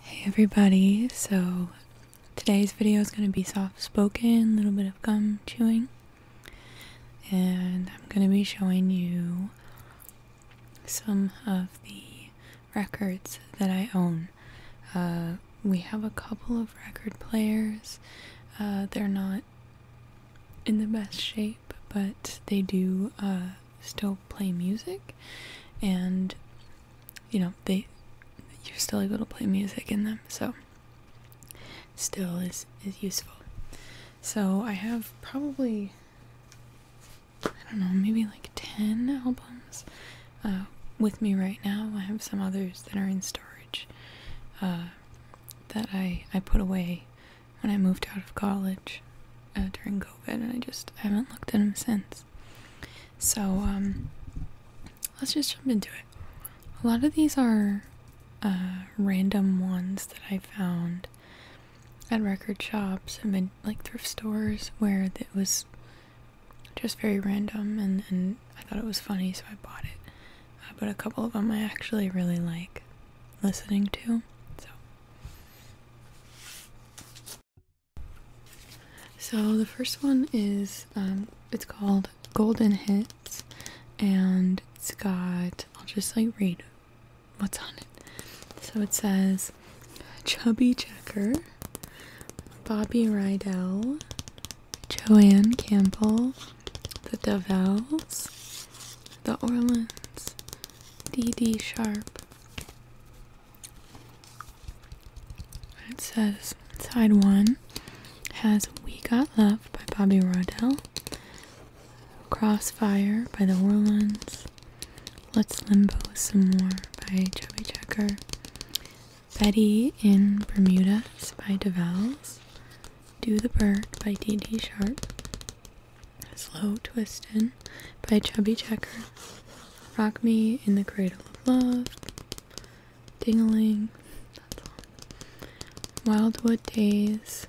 Hey everybody, so today's video is going to be soft spoken, a little bit of gum chewing, and I'm going to be showing you some of the records that I own. Uh, we have a couple of record players, uh, they're not in the best shape, but they do uh, still play music and you know they you're still able to play music in them so still is is useful so i have probably i don't know maybe like 10 albums uh, with me right now i have some others that are in storage uh, that i i put away when I moved out of college uh, during COVID, and I just haven't looked at them since. So, um, let's just jump into it. A lot of these are uh, random ones that I found at record shops and like thrift stores where it was just very random, and, and I thought it was funny, so I bought it. Uh, but a couple of them I actually really like listening to. So so the first one is um, it's called Golden Hits, and it's got I'll just like read what's on it. So it says Chubby Checker, Bobby Rydell, Joanne Campbell, The Davells, The Orleans, D D sharp. It says side one has We Got Love by Bobby Rodell, Crossfire by the Orleans, Let's Limbo Some More by Chubby Checker, Betty in Bermuda" by DeVals, Do the Bird by D D Sharp, Slow Twistin' by Chubby Checker. Rock Me in the Cradle of Love. Dingaling. Wildwood Days.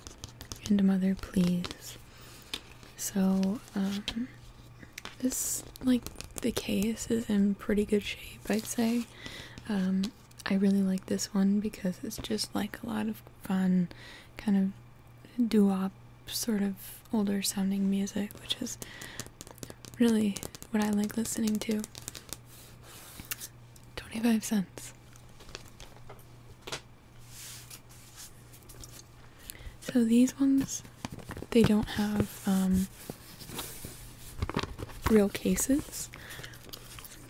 And Mother Please. So, um, this, like, the case is in pretty good shape, I'd say. Um, I really like this one because it's just like a lot of fun, kind of doo wop sort of older sounding music, which is really what I like listening to. 25 cents. So these ones, they don't have um, real cases,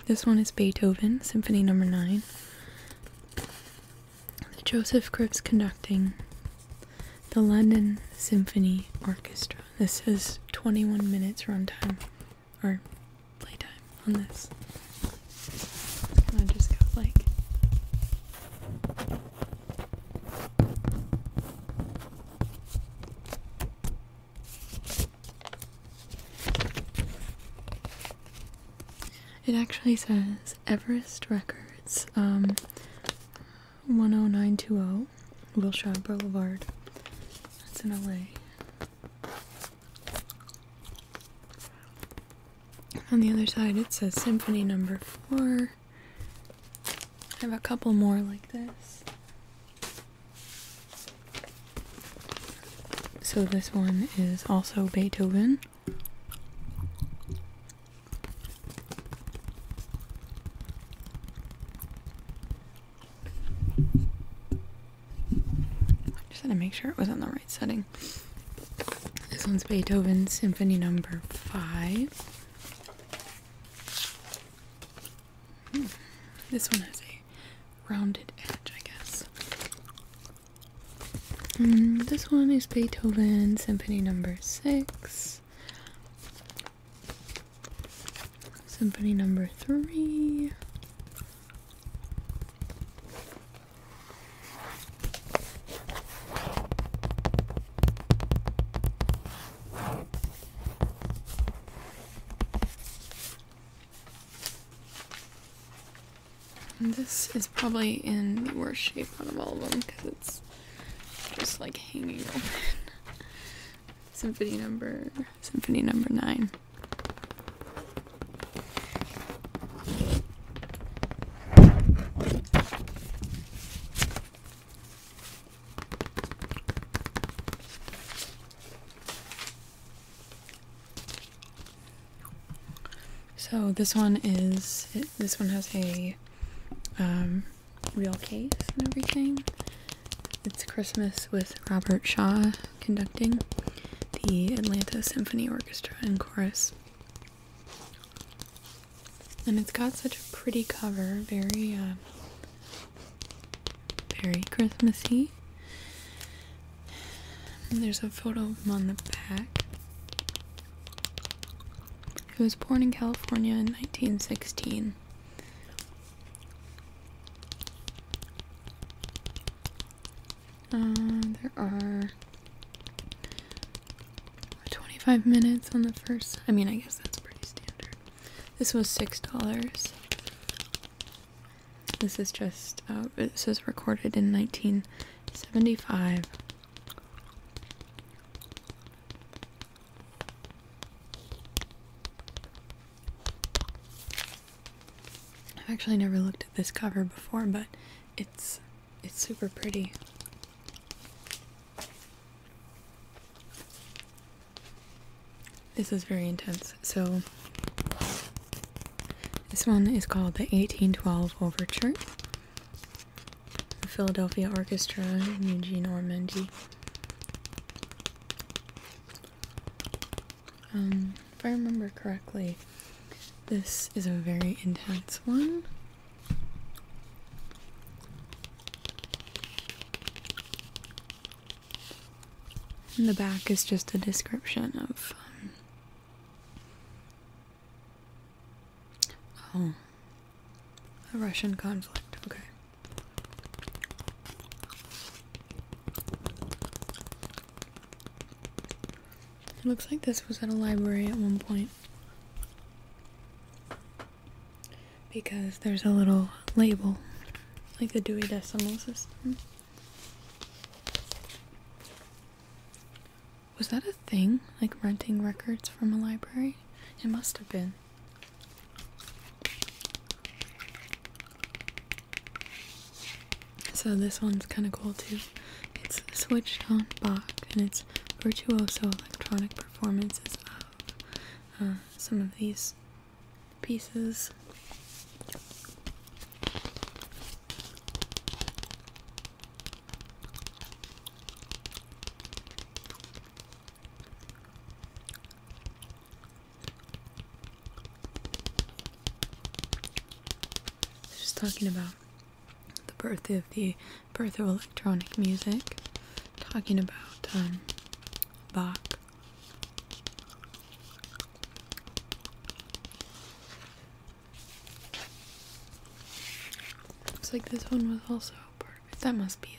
this one is Beethoven, Symphony Number Nine. Joseph Cripps conducting the London Symphony Orchestra. This is 21 minutes runtime or playtime on this. It actually says Everest Records, um, 10920, Wilshire Boulevard. That's in LA. On the other side, it says Symphony Number Four. I have a couple more like this. So this one is also Beethoven. Just had to make sure it was on the right setting. This one's Beethoven Symphony Number Five. Hmm. This one has a rounded edge, I guess. this one is Beethoven Symphony Number Six, Symphony Number Three this is probably in the worst shape out of all of them because it's just like hanging open. symphony number symphony number nine. So this one is this one has a um, real case and everything. It's Christmas with Robert Shaw conducting the Atlanta Symphony Orchestra and Chorus. And it's got such a pretty cover, very uh, very Christmassy. there's a photo of him on the back. He was born in California in 1916. Uh, there are 25 minutes on the first. I mean, I guess that's pretty standard. This was $6. This is just, uh, it says recorded in 1975. I've actually never looked at this cover before, but it's it's super pretty. This is very intense. So, this one is called the 1812 Overture. The Philadelphia Orchestra Eugene Ormandy. Um, if I remember correctly, this is a very intense one. And the back is just a description of. Um, oh. A Russian conflict, okay. It looks like this was at a library at one point because there's a little label, like the Dewey Decimal System. Was that a thing? Like renting records from a library? It must have been. So this one's kind of cool too. It's switched on Bach and it's virtuoso electronic performances of uh, some of these pieces. Just talking about the birth of the birth of electronic music, talking about um, Bach. Looks like this one was also part of it. That must be,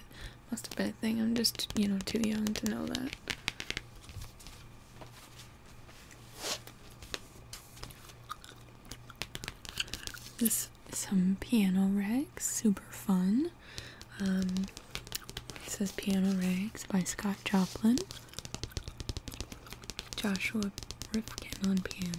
must have been a thing. I'm just, you know, too young to know that. This some piano rags, super fun. Um, it says Piano Rags by Scott Joplin. Joshua Rifkin on piano.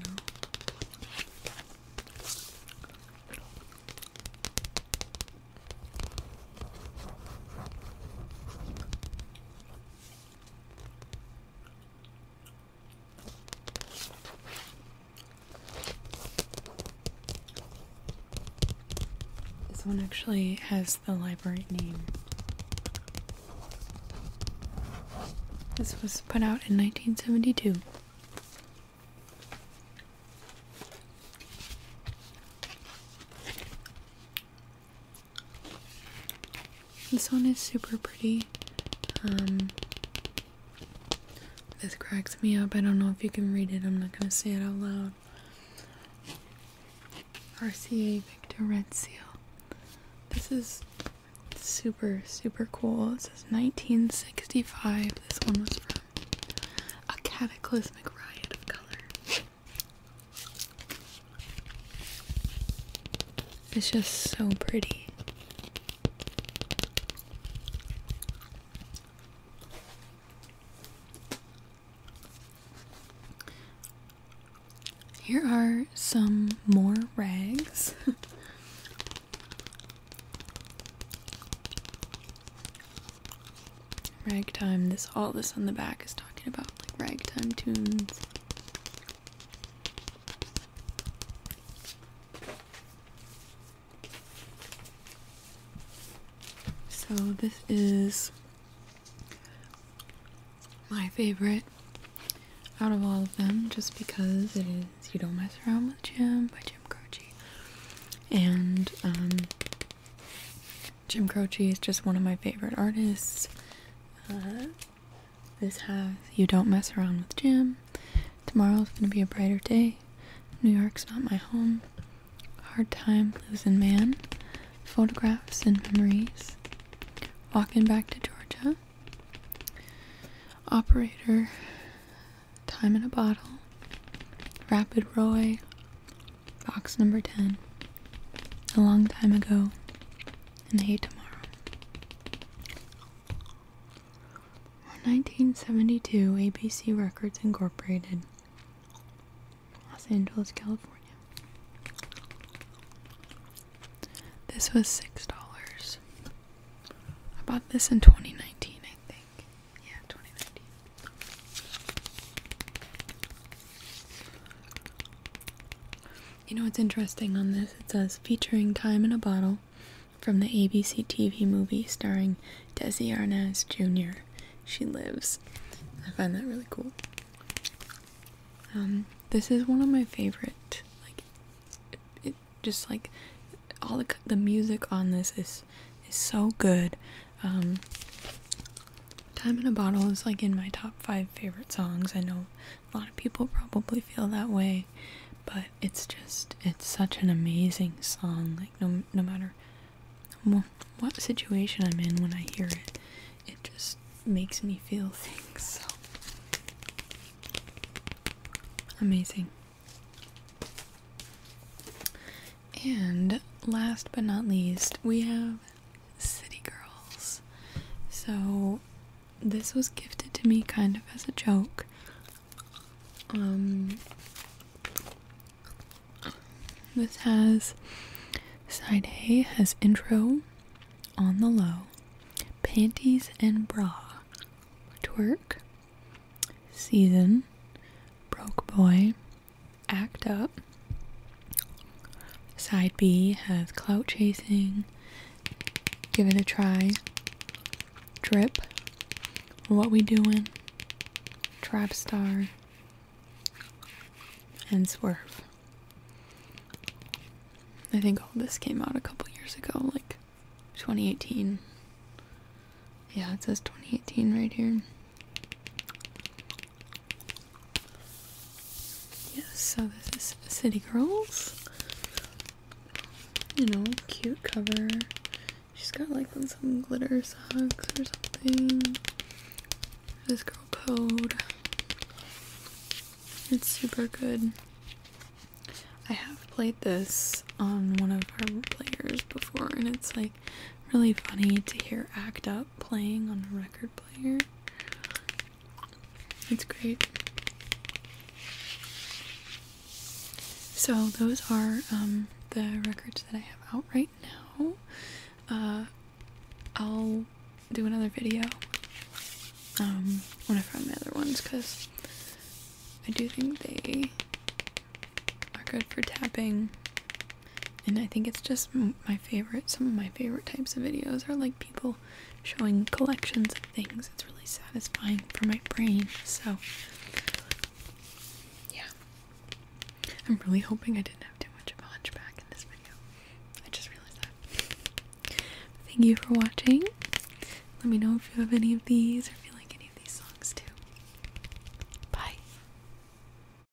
This one actually has the library name. This was put out in 1972. This one is super pretty. Um, this cracks me up. I don't know if you can read it. I'm not going to say it out loud. RCA Victor Red Seal. This is super, super cool. It says 1965. This one was from a cataclysmic riot of color. It's just so pretty. Here are some more rags. ragtime, this all this on the back is talking about like ragtime tunes. So this is my favorite out of all of them just because it is You Don't Mess Around with Jim by Jim Croce. And um, Jim Croce is just one of my favorite artists. Uh, this has You Don't Mess Around with Jim. Tomorrow's gonna be a brighter day. New York's not my home. Hard Time, Losing Man. Photographs and Memories. Walking Back to Georgia. Operator. Time in a Bottle. Rapid Roy. Box number 10. A long time ago and Hey Tomorrow. 1972, ABC Records Incorporated, Los Angeles, California. This was six dollars. I bought this in 2019, I think. Yeah, 2019. You know what's interesting on this? It says featuring Time in a Bottle from the ABC TV movie starring Desi Arnaz Jr. She lives. I find that really cool. Um, this is one of my favorite. Like, it, just like all the the music on this is is so good. Um, Time in a Bottle is like in my top five favorite songs. I know a lot of people probably feel that way but it's just it's such an amazing song like no no matter what situation I'm in when I hear it it just makes me feel things so amazing and last but not least we have City Girls. So this was gifted to me kind of as a joke. Um this has side A has intro on the low, panties and bra, twerk, season, broke boy, act up. Side B has clout chasing. Give it a try. Drip. What we doing? Trap star. And swerve. I think all this came out a couple years ago, like 2018. Yeah, it says 2018 right here. Yes, so this is City Girls. You know, cute cover. She's got like some glitter socks or something. This girl code. It's super good. I have played this on one of our players before, and it's like really funny to hear Act Up playing on a record player. It's great. So those are um, the records that I have out right now. Uh, I'll do another video um, when I find my other ones because I do think they are good for tapping and I think it's just my favorite. Some of my favorite types of videos are like people showing collections of things. It's really satisfying for my brain. So, yeah. I'm really hoping I didn't have too much of a hunchback in this video. I just realized that. Thank you for watching. Let me know if you have any of these or if you like any of these songs too. Bye.